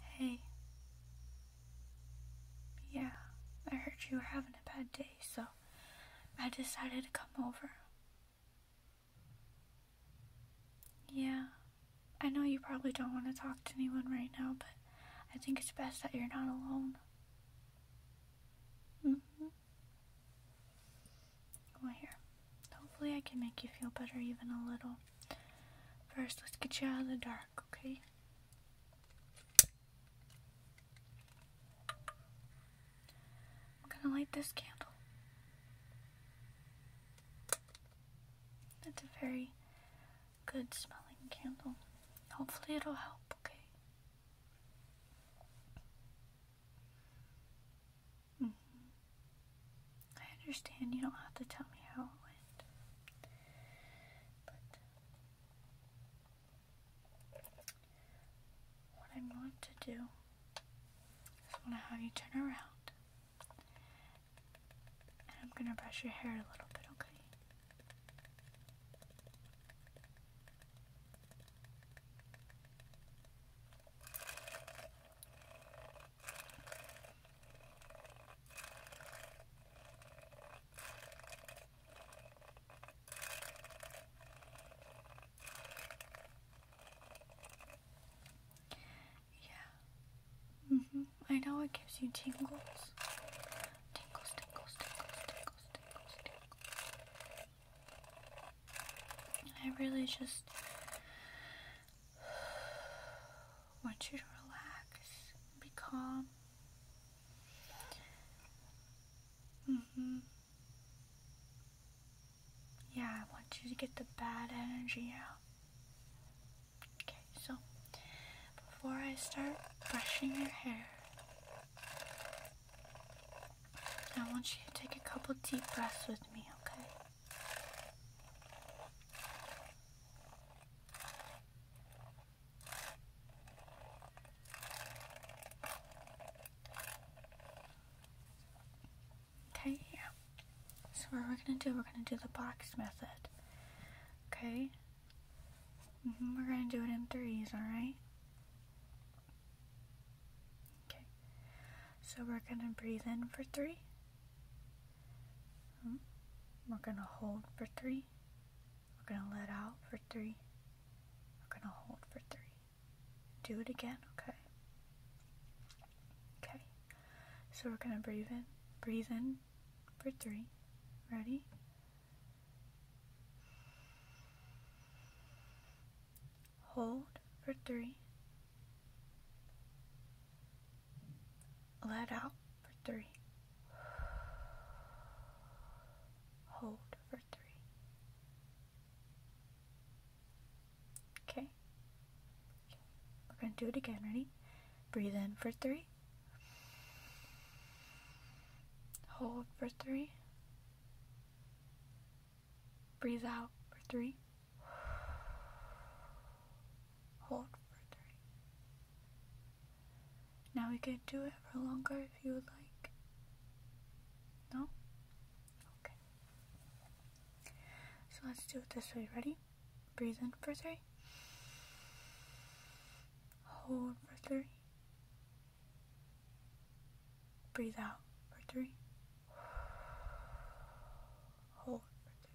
Hey. Yeah, I heard you were having a bad day, so I decided to come over. Yeah, I know you probably don't want to talk to anyone right now, but I think it's best that you're not alone. hmm. Well, here. Hopefully, I can make you feel better even a little. First, let's get you out of the dark, okay? I'm gonna light this candle. That's a very good smelling candle. Hopefully, it'll help, okay? Mm-hmm. I understand you don't have to tell me how it went, but what I'm going to do is i to have you turn around and I'm going to brush your hair a little bit, okay? Yeah. Mm hmm I know it gives you tingles. Tingles, tingles, tingles, tingles, tingles, tingles. I really just want you to relax, be calm. Mm-hmm. Yeah, I want you to get the bad energy out. Okay, so before I start brushing your hair, I want you to take a couple deep breaths with me, okay? Okay, yeah. So what we're gonna do, we're gonna do the box method. Okay? Mm-hmm, we're gonna do it in threes, alright? Okay. So we're going to breathe in for three. Hmm. We're going to hold for three. We're going to let out for three. We're going to hold for three. Do it again, okay? Okay. So we're going to breathe in. Breathe in for three. Ready? hold for three, let out for three, hold for three. Okay. We're going to do it again. Ready? Breathe in for three, hold for three. Breathe out for three. Hold for three. Now we can do it for longer if you would like. No? Okay. So let's do it this way. Ready? Breathe in for three. Hold for three. Breathe out for three. Hold for three.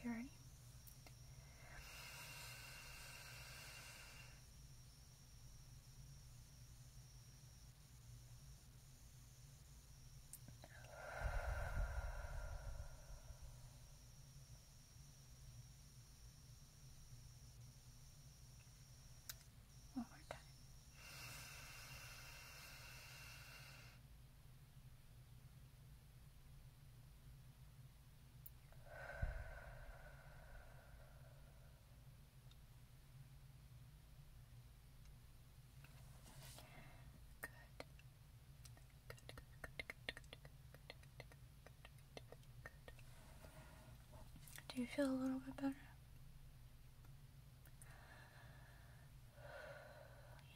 Okay, ready? One more time. Do you feel a little bit better?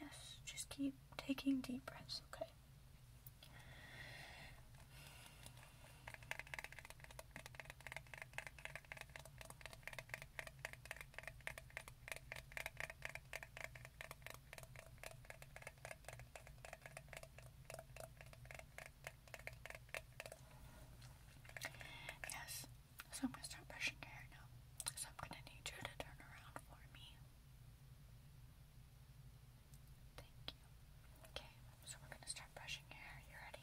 Yes, just keep taking deep breaths, okay? Yes, so I'm gonna start brushing your hair now. So I'm gonna need you to turn around for me. Thank you. Okay, so we're gonna start brushing your hair. You ready?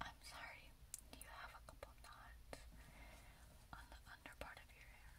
I'm sorry, do you have a couple knots on the under part of your hair?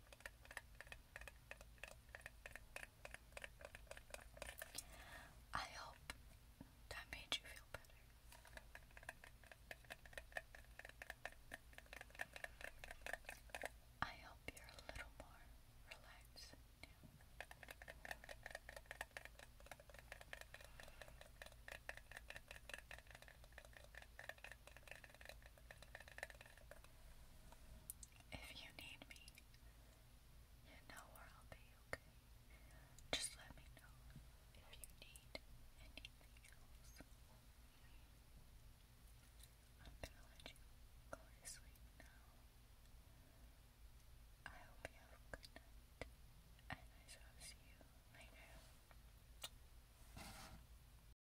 I hope that made you feel better. I hope you're a little more relaxed if you need me, you know where I'll be, okay? Just let me know if you need anything else. I'm gonna let you go to sleep now. I hope you have a good night, and I shall see you later.